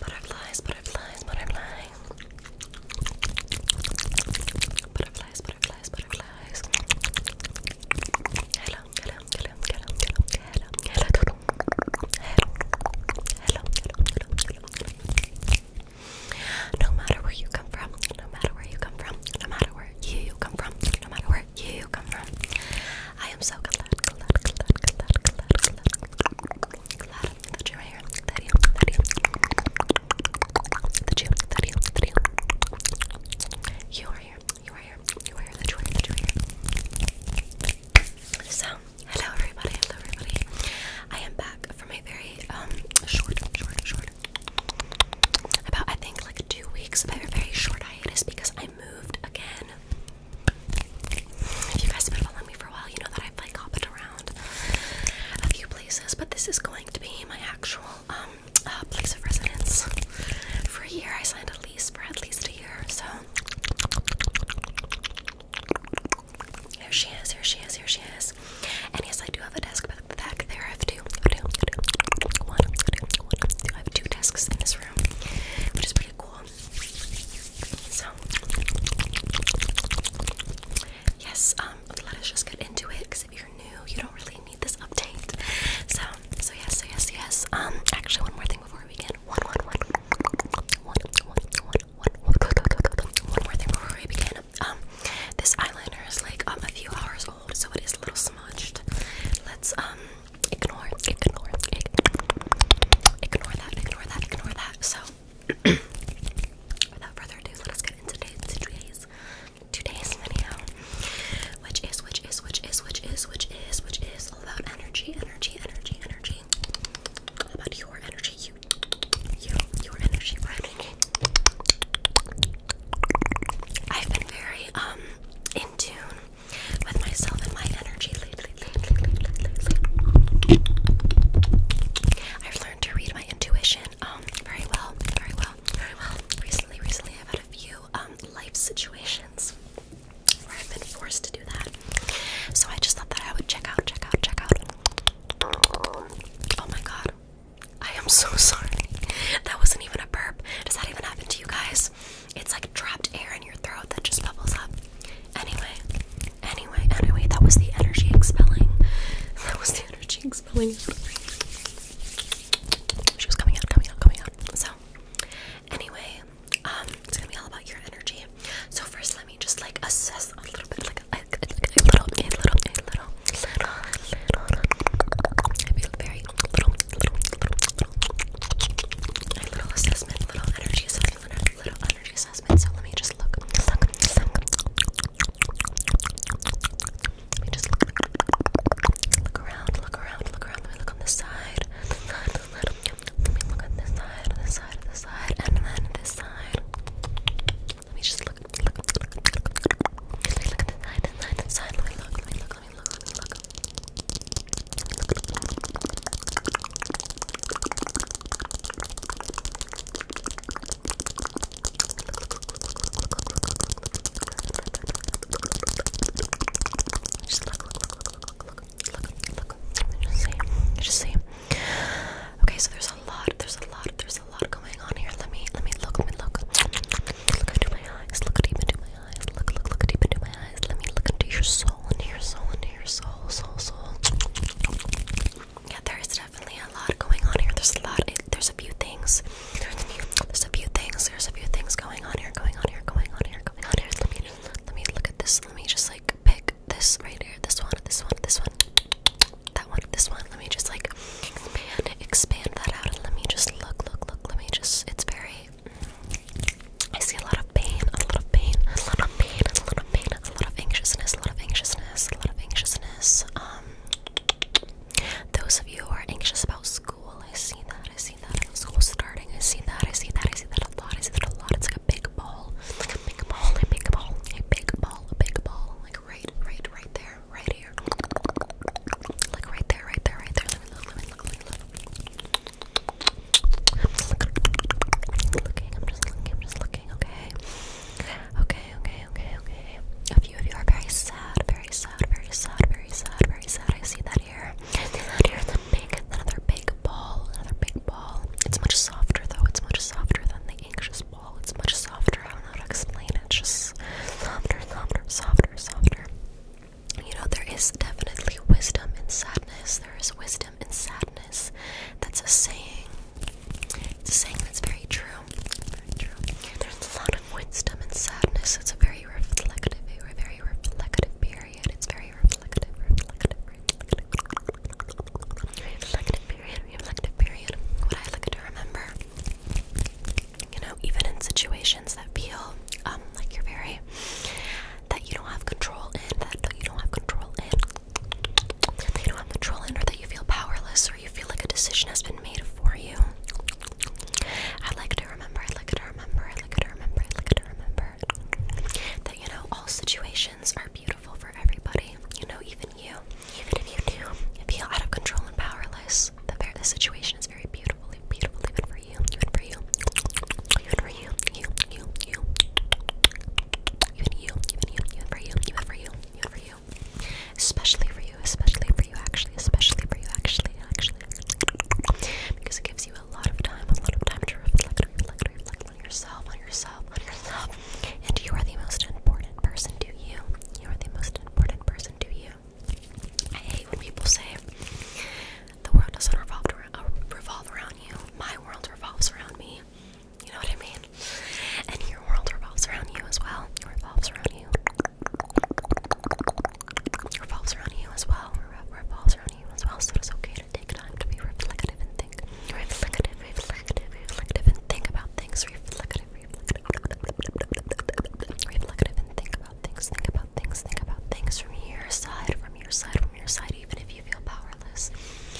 Butterflies, butterflies, butterflies. Butterflies, butterflies, butterflies. Hello, hello, hello, hello, hello, hello, hello, hello, hello, hello, hello, hello. No matter where you come from, no matter where you come from, no matter where you come from, no matter where you I am so glad, that you're here. you, are here. You are here. You are here. That So, hello everybody. Hello everybody. I am back from a very um, short, short, short. About I think like two weeks, but a very short hiatus because I moved again. If you guys have been following me for a while, you know that I've like hopped around a few places, but this is going to be my actual um, uh, place of residence. For a year, I signed a lease for at least a year, so here she is, here she is, here she is. And yes, I do have a desk but back there. I have two, two, two, one, two, one. I have two desks in this room, which is pretty cool. So yes, um, let us just get into it because if you're new, you don't really need this update. So, so yes, so yes, yes. Um, actually, one more thing before we begin. One, one, one, one, one, one, one, one more thing before we begin. Um, this eyeliner is like um a few hours old, so it is a little smudged. Let's um ignore, ignore, ignore that, ignore that, ignore that. So, without further ado, let us get into today's, today's, today's video, which is, which is, which is, which is, which is, which is all about energy, energy, energy, energy. All about your energy, you, you, your energy, my energy. I've been very um in tune with myself and my energy lately. lately, lately, lately. I've learned to read my intuition um very well, very well, very well. Recently, recently I've had a few um life situations where I've been forced to do that. So I just thought that I would check out, check out, check out. Oh my god. I am so sorry. That wasn't even a burp. Does that even happen to you guys? it's like trapped air in your throat that just bubbles up. Anyway, anyway, anyway, that was the energy expelling. That was the energy expelling. She was coming out, coming out, coming out. So, anyway, it's gonna be all about your energy. So first, let me just like assess a little bit, like a, a, a little, a little, a little, a little, a little, a little, very little, little, little, little assessment, little energy assessment, little, little energy assessment. So let me just look, look, look. Let me just look, look around, look around, look around. Let me look on this side, this side, this side. Let me look on this side, this side, this side, and then this side. Let me just look, look, look, look, look. Let me look at this side, this side, this side. Let me look, let me look, let me look, let me look. Just look, look, look, look, look, look, look, look. Just see, just see. Okay, so there's a lot, there's a lot, there's a lot going on here. Let me, let me look, let me look. Look into my eyes, look deep into my my eyes. Look, look, look deep into my eyes. Let me look into your soul, into your soul, into your soul, soul, soul. Yeah, there is definitely a lot going on here. There's a lot. There's a few things. There's a few. There's a few things. There's a few things going on here. Going on here. Going on here. Going on here. Let me. Let me look at this. Let me just like pick this right here. This one. This one. This one. That one. This one. Let me just like expand, expand that out, and let me just look, look, look. Let me just. It's very. I see a lot of pain, a lot of pain, a lot of pain, a lot of pain, a lot of anxiousness, a lot of anxiousness, a lot of anxiousness. Um those of you who are anxious about school, I see that, I see that about school starting, I see that, I see that, I see that a lot, I see that a lot. It's like a big ball. Like a big ball, a big ball, a big ball, a big ball. Like right, right, right there, right here. Like right there, right there, right there. I'm just looking, I'm just looking, I'm just looking, okay? Okay, okay, okay, okay. A few of you are very sad, very sad, very sad, very sad, very sad. I see that here. It's another big ball, another big ball. It's much softer though, it's much softer than the anxious ball. It's much softer. I don't explain it. just softer, softer, softer, softer you know, there is definitely wisdom in sadness. There is wisdom in sadness. That's a saying. It's a saying that's very true. There's a lot of wisdom in sadness. It's a very reflective, a very reflective period. It's very reflective, reflective, reflective, period, reflective period. What I like to remember, you know, even in situations that feel um, like you're very that you don't have control in, that you don't have control in, that you don't have control in, or that you feel powerless, or you feel like a decision has been made for you. I'd like to remember, I'd like to remember, I'd like to remember, I'd like to remember that, you know, all situations are beautiful for everybody, you know, even you. Even if you do feel out of control and powerless, the, the situation is very beautiful, beautiful, even for you, even for you, even for you, you, you, you, even you, even you, even for you, even for you, even for you, especially for you, especially for you, actually, especially for you, actually, actually, because it gives you a lot of time, a lot of time to reflect, reflect, reflect on yourself, on yourself, on yourself, and you are the most important person to you. You are the most important person to you. I hate when people say, the world doesn't revolve around, uh, revolve around you. My world revolves around me. You know what I mean? And your world revolves around you as well. It revolves around you. It revolves around you as well. It revolves around you as well. So it's okay to take time to be reflective and think. Reflective, reflective, reflective, and think about things. Reflective, reflective, reflective, and think about things. Think about things, think about things from your side, from your side, from your side, even if you feel powerless.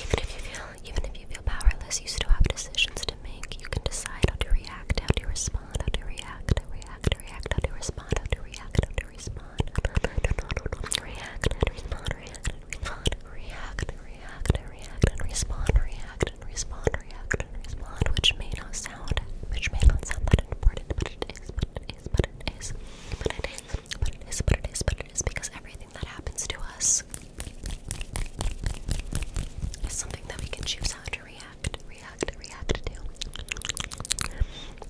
Even if you feel even if you feel powerless, you still have decisions to make. You can decide how to react, how to respond, how to react, how to react, react, how to respond, how to react, how to respond. React and respond, react and respond, react and react and react and respond, react and respond, react and respond, which may not sound which may not sound that important, but it is, but it is, but it is, but it is, but it is, but it is, but it is, because everything that happens to us is something that we can choose how to react, react, react to.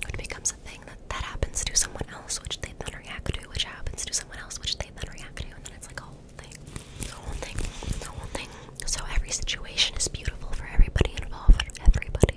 It becomes a thing that, happens to someone else, which they then react to, which happens to someone else, which they then react to, and then it's like a whole thing, whole thing, whole thing. So every situation is beautiful for everybody involved. Everybody,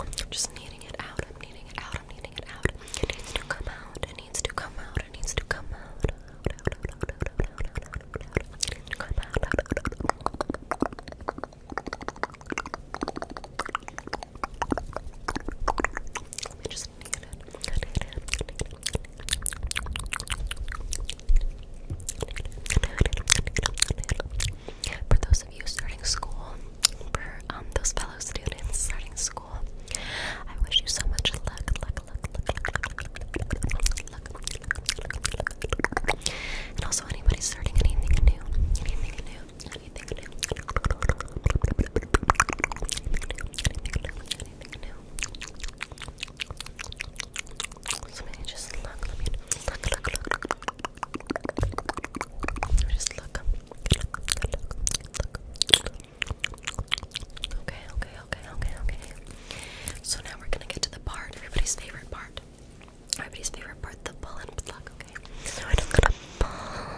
I'm just kneading it out. I'm kneading it out. I'm kneading it out. It needs to come out. It needs to come out. It needs to come out. Out, out, out, out, out, out, out, out, out, out, out. It needs to come out. Out, out, out, out. Let me just knead it. Knead it. Knead it. Knead it. Knead it. Knead it. Knead it for those of you starting school, for um, those fellow students starting school, I wish you so much luck, luck, luck, luck, luck, And also, anybody starting anything new, anything new, anything new. So maybe just look, look, look, look, Just look. Okay, okay, okay, okay, okay. So now we're gonna get to the part, everybody's favorite part. Everybody's favorite part, the pull and pluck, okay? So I'm just gonna pull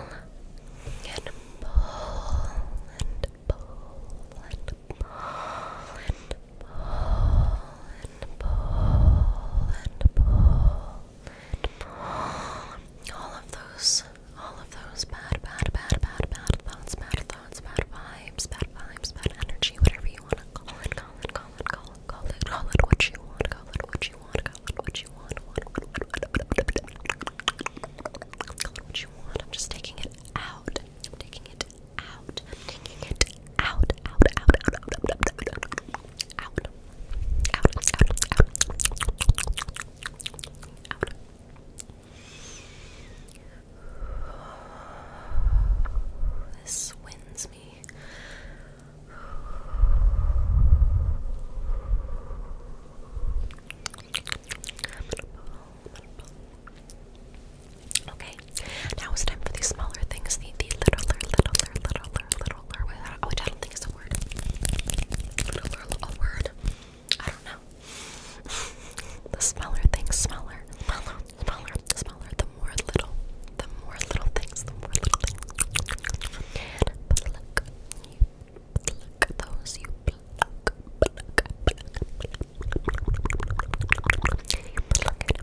and pull and pull and pull pull and pull and pull and pull. All of those, all of those bad, bad, bad, bad, bad thoughts, bad thoughts, bad vibes, bad vibes, bad energy, whatever you want to call it, call it, call it, call it, call it, call it what you want, call it what you want, call it what you want, call it what you want. I'm just taking it out. I'm taking it out, taking it out, out, out, out, out, out, out, out, out, out, out, out, out. This wins me. Okay, now it's time for the smaller things, the, the littler, littler, littler, littler, littler, which I don't think is a word. Littler, a word. I don't know. the smaller things, smaller, smaller, smaller, smaller, the more little, the more little things, the more little things. Pluck, you pluck those, you pluck, pluck, pluck, pluck. You pluck it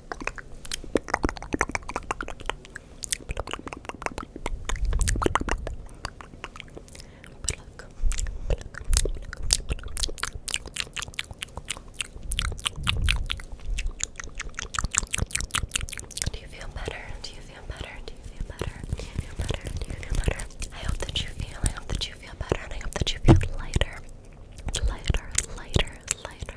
Do you feel better? Do you feel better? Do you feel better? Do you feel better? Do you feel better? I hope that you feel, I hope that you feel better, I hope that you feel lighter. Lighter, lighter, lighter,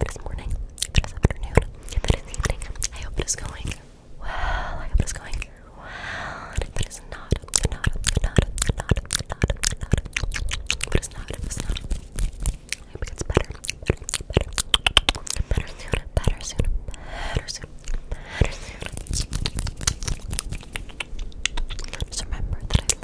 If morning, if afternoon, if evening, I hope it is going well. I hope it is going well. And if it is not, not, not, not, not, not, it is not, it is not, it gets better, better, better, soon, better soon, better soon, better soon. Just remember that I